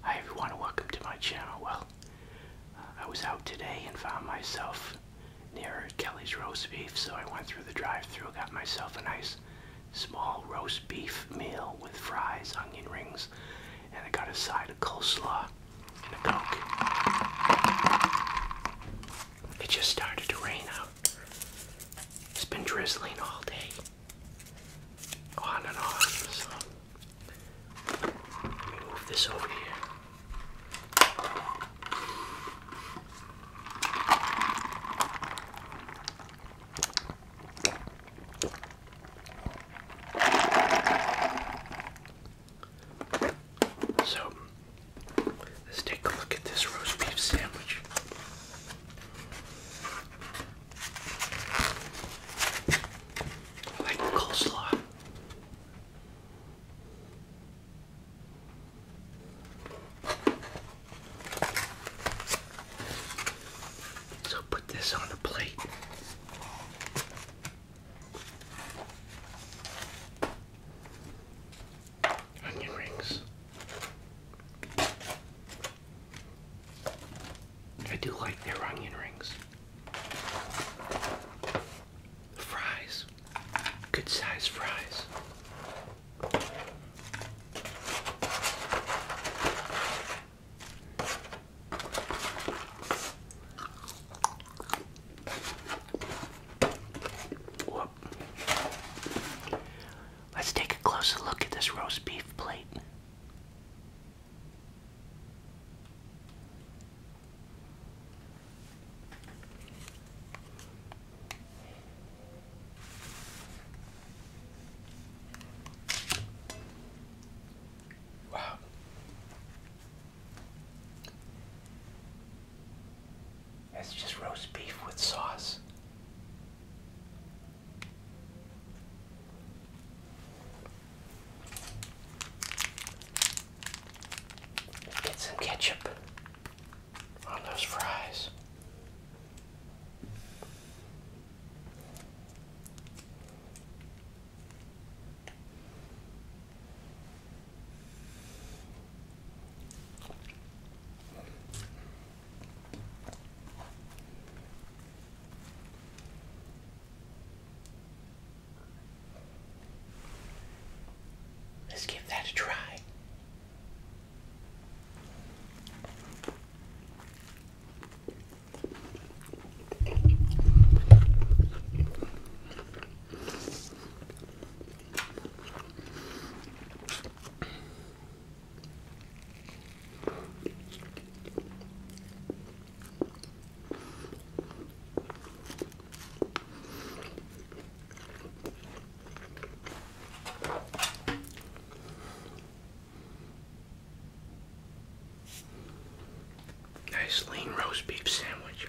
Hi everyone and welcome to my channel. Well, uh, I was out today and found myself near Kelly's Roast Beef, so I went through the drive-thru, got myself a nice small roast beef meal with fries, onion rings, and I got a side of coleslaw and a Coke. It just started to rain out. It's been drizzling all day on and off. move this over here. So let's take a look at this roast beef sandwich. I like the coleslaw. So put this on a plate. Onion rings. I do like their onion rings. Fries. Good size fries. Let's take a closer look at this roast beef plate. Wow. It's just roast beef with sauce get some ketchup on those fries. Let's give that a try. Nice lean roast beef sandwich.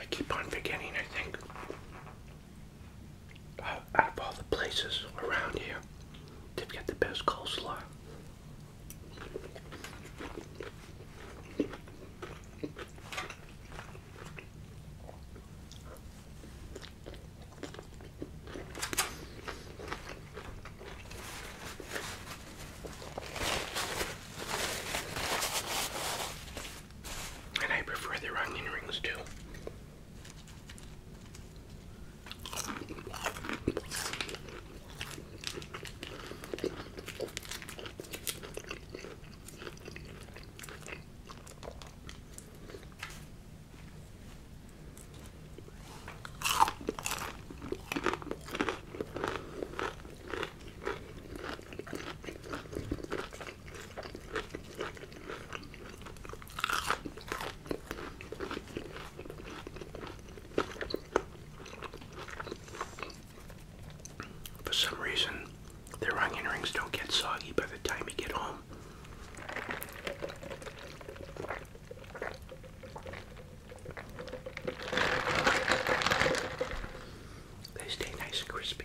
I keep on forgetting, I think. Uh, out of all the places around here, they've got the best coleslaw. And I prefer the onion rings too. For some reason, their onion rings don't get soggy by the time you get home. They stay nice and crispy.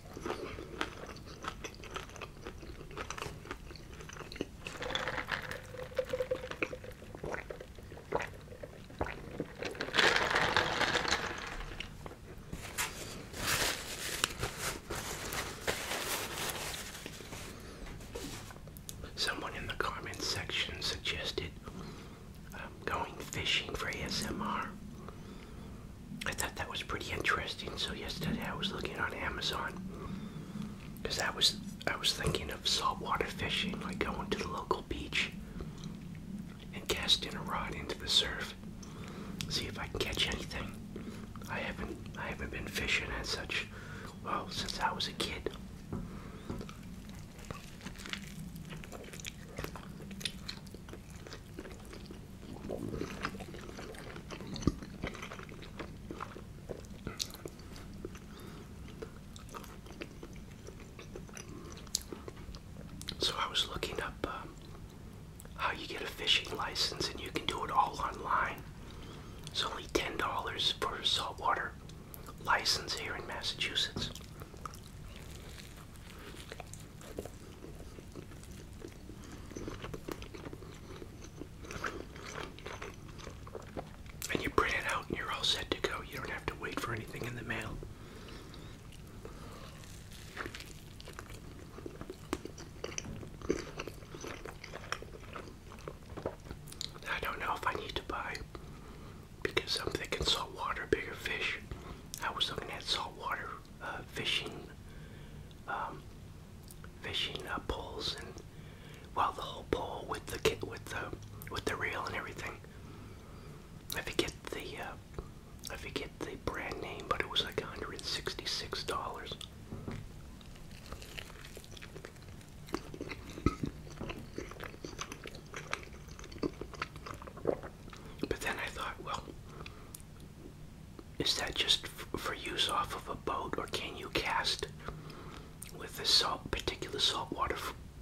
Someone in the comments section suggested um, going fishing for ASMR. I thought that was pretty interesting. So yesterday I was looking on Amazon because I was I was thinking of saltwater fishing, like going to the local beach and casting a rod into the surf, see if I can catch anything. I haven't I haven't been fishing at such well since I was a kid. So I was looking up uh, how you get a fishing license, and you can do it all online. It's only ten dollars for a saltwater license here in Massachusetts. And you print it out and you're all set to go. You don't have to wait for anything in the mail. I don't know if I need to buy because I'm thinking water bigger fish. I was looking at salt water. Uh, fishing um, fishing uh, poles and well the whole pole with the kit with the with the reel and everything. I forget the uh, I forget the brand name, but it was like $166. But then I thought, well, is that just for use off of a boat, or can you cast with the salt, particular saltwater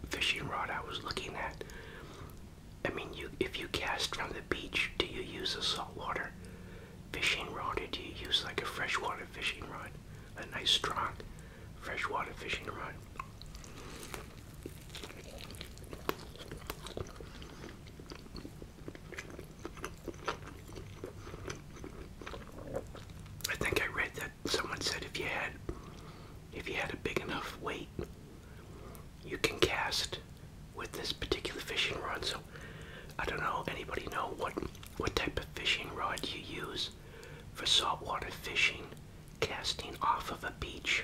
fishing rod I was looking at? I mean, you if you cast from the beach, do you use a saltwater fishing rod, or do you use like a freshwater fishing rod, a nice strong freshwater fishing rod? I think I read that someone said if you had if you had a big enough weight you can cast with this particular fishing rod. So I don't know anybody know what what type of fishing rod you use for saltwater fishing casting off of a beach.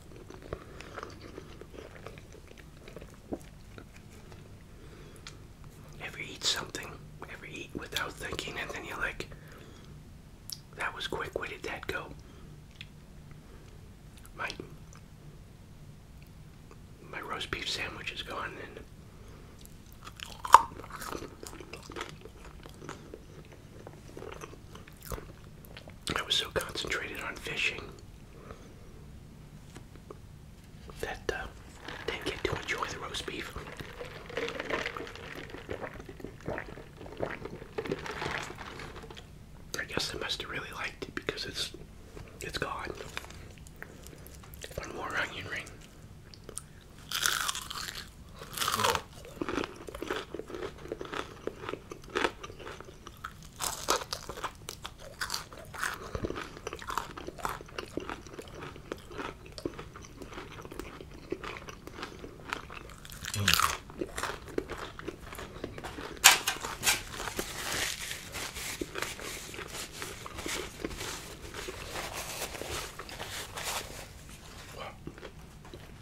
Ever eat something? Ever eat without thinking and then you're like, that was quick, where did that go? My my roast beef sandwich is gone and I was so concentrated on fishing that uh, I didn't get to enjoy the roast beef. I guess I must have really liked it because it's it's gone. One more onion ring. Well,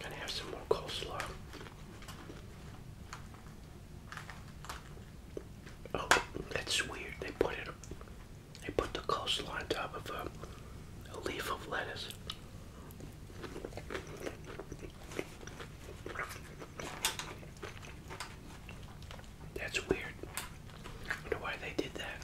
gonna have some more coleslaw. Oh, that's weird. They put it. They put the coastline on top of um, a leaf of lettuce. That's weird. I wonder why they did that.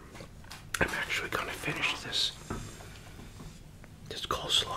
I'm actually gonna finish this this coleslaw.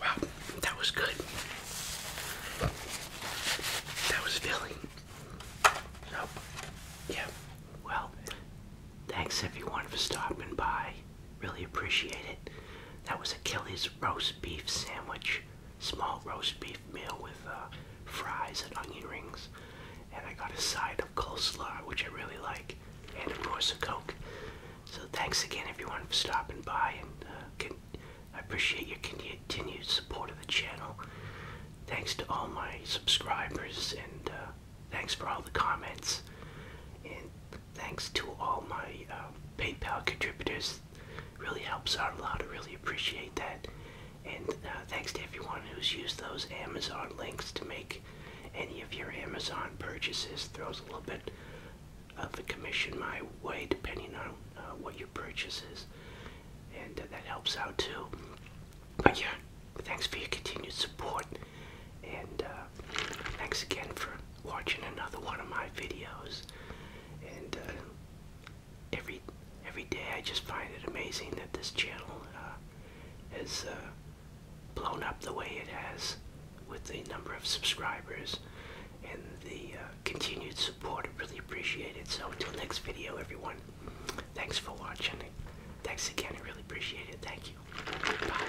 Wow, that was good. That was filling. So, yeah. Well, thanks everyone for stopping by. Really appreciate it. That was Achilles roast beef sandwich, small roast beef meal with uh, fries and onion rings. And I got a side of coleslaw, which I really like, and of course a Coke. So thanks again everyone for stopping by, and uh, I appreciate your continued support of the channel. Thanks to all my subscribers, and uh, thanks for all the comments thanks to all my um, PayPal contributors. Really helps out a lot. I really appreciate that. And uh, thanks to everyone who's used those Amazon links to make any of your Amazon purchases. Throws a little bit of a commission my way depending on uh, what your purchase is. And uh, that helps out too. But yeah, thanks for your continued support. And thanks again for watching another one of my videos. And uh, every every day I just find it amazing that this channel uh, has uh, blown up the way it has with the number of subscribers and the continued support. I really appreciate it. So until next video, everyone, thanks for watching. Thanks again. I really appreciate it. Thank you. Bye.